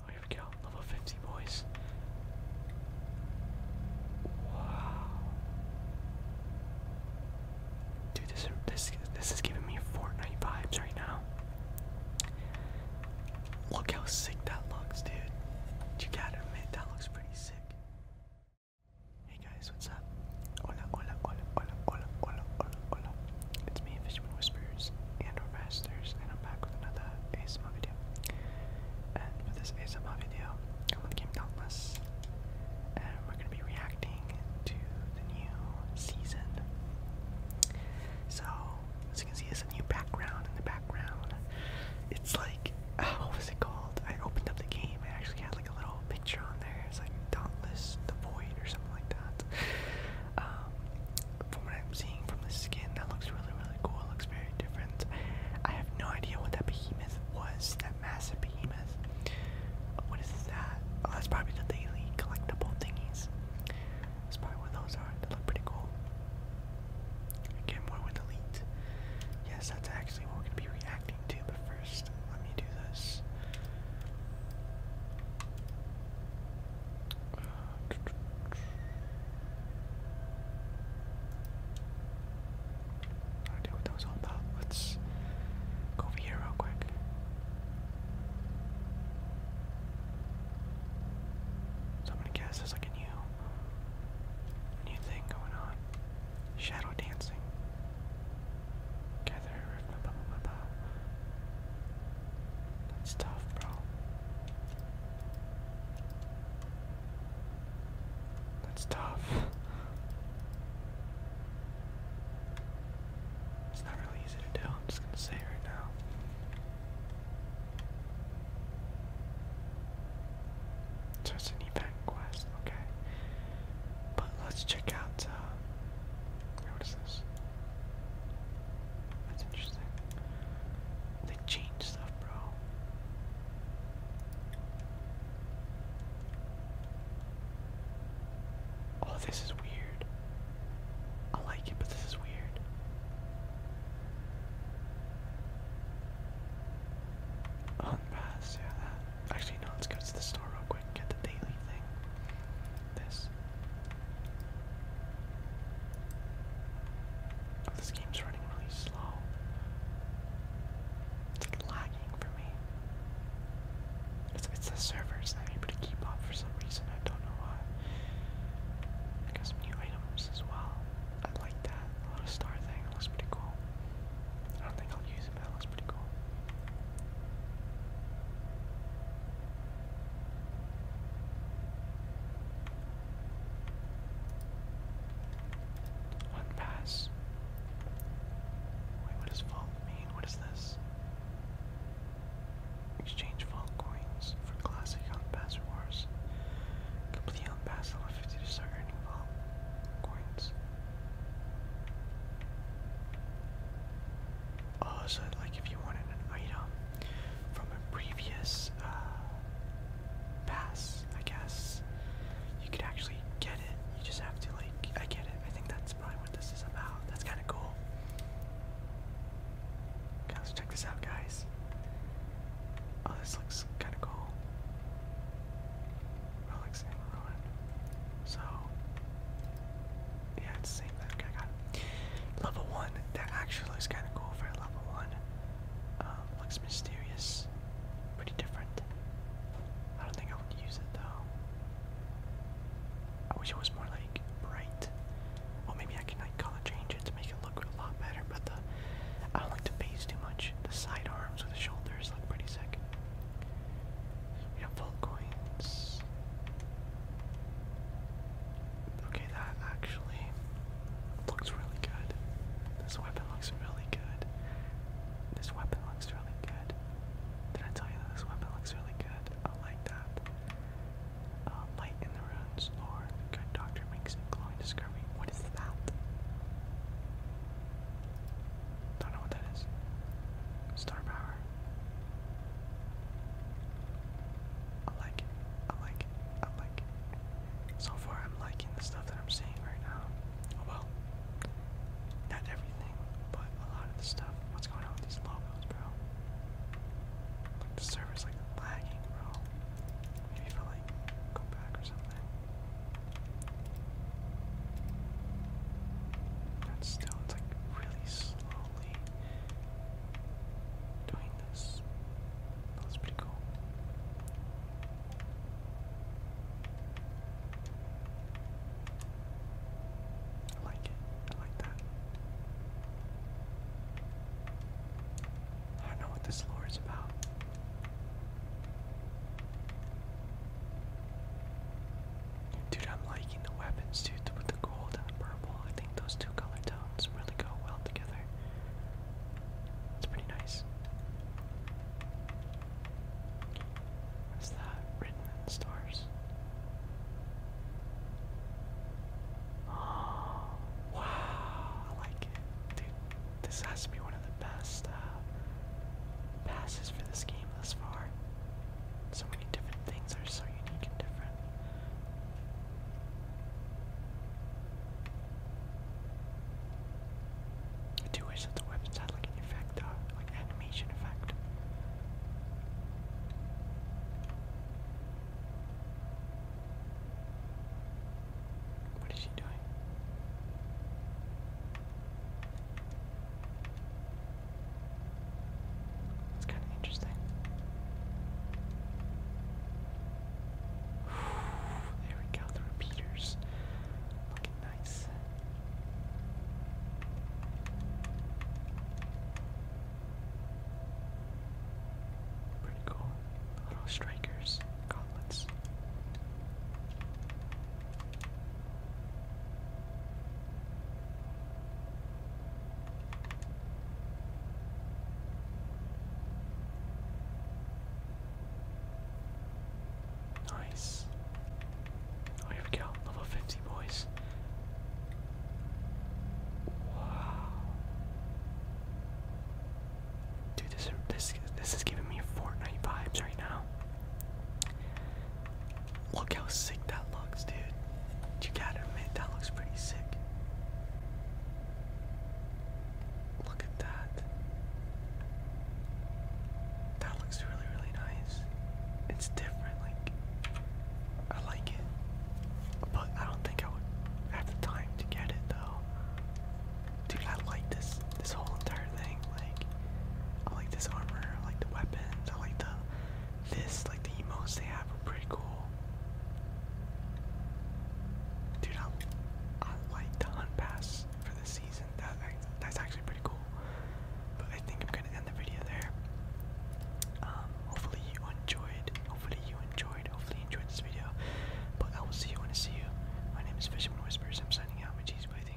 Oh, here we go, level 50, boys. Wow. Dude, this, this, this is giving me Fortnite vibes right now. Look how sick that looks, dude. You gotta admit, that looks pretty sick. Hey guys, what's up? Hola, hola, hola, hola, hola, hola, hola, hola. It's me, Fishman Whispers and or Masters, and I'm back with another ASMR video. And for this ASMR video, I'm on the game and we're gonna be reacting to the new season. So as you can see, it's a new background in the background. It's like uh, what was it called? I opened up the game. It actually had like a little picture on there. It's like Dauntless the Void or something like that. Um, from what I'm seeing from the skin, that looks really really cool. It looks very different. I have no idea what that behemoth was. That massive behemoth. What is that? Oh, that's probably the daily collectible thingies. That's probably where those are. They look pretty cool. Again, more with Elite. Yes, that's actually what we're going to be reacting to, but first, let me do this. I don't know all about. Let's go over here real quick. So I'm gonna guess there's like a new, new thing going on. Shadow dancing. Gather, blah, tough, bro. That's tough. It's not really easy to tell, I'm just gonna say it right now. So it's an quest, okay. But let's check out, uh, what is this? That's interesting. They change stuff, bro. Oh, this is weird. I like it, but this is weird. On pass, yeah, Actually, no, let's go to the store real quick get the daily thing. This. Oh, this game's running really slow. It's lagging it's me. It's, it's the server's not able to keep up for some reason, I don't know why. some new items as well. I like that. A little star thing, looks pretty cool. I don't think I'll use it, but looks pretty cool. One pass. Wait, what does vault mean? What is this? Exchange vault coins for classic on pass rewards. Complete on pass level 50 to start earning vault coins. Oh, like if you wanted an item from a previous uh, pass, I guess. You could actually get it. You just have to like I get it. I think that's probably what this is about. That's kinda cool. Okay, check this out guys. Oh this looks kinda cool. Relics So yeah, it's same thing. I got Level one, that actually looks kinda cool for level one. Um, looks mysterious pretty different. I don't think I would use it though. I wish it was more like bright. Well, maybe I can like color change it to make it look a lot better, but the I don't like the base too much. The side arms or the shoulders look pretty sick. We have full coins. Okay, that actually looks really good. This weapon looks really good. This weapon looks really good. Did I tell you that this weapon looks really good? I like that. Uh, light in the ruins, lore. The good doctor makes a glowing discovery. What is that? Don't know what that is. Star power. I like it. I like it. I like it. So far, I'm liking the stuff that I'm seeing right now. well, not everything, but a lot of the stuff. What's going on with these logos, bro? the server's like lagging, bro. Maybe if I like go back or something. That's still, it's like really slowly doing this. That's pretty cool. I like it. I like that. I don't know what this lore is about. Dude, I'm liking the weapons, dude, with the gold and purple. I think those two color tones really go well together. It's pretty nice. What's that written in stars? Oh, wow, I like it. Dude, this has to be one of the best uh, passes for this game thus far. So many different things are so unique and different. I do wish that the website had like an effect, uh, like animation effect. What is she doing? It's kind of interesting. There we go, the repeaters. Looking nice. Pretty cool. little strikers, gauntlets. Nice. Oh, here we go. Level 50, boys. Wow. Dude, this, this, this is giving me Fortnite vibes right now. Look how sick that looks, dude. You gotta admit, that looks pretty sick. Look at that. That looks really, really nice. It's different, like, I like it. But I don't think I would have the time to get it, though. Dude, I like this, this whole entire thing. Like, I like this armor, I like the weapons, I like the this, like the emotes they have are pretty cool. Dude, I, I like the hunt pass for this season. That, that's actually pretty cool. But I think I'm gonna end the video there. Um, hopefully you enjoyed. Hopefully you enjoyed. Hopefully enjoyed this video. But I will see you when I see you. My name is Fisherman Whispers. I'm signing out. My cheese, but I think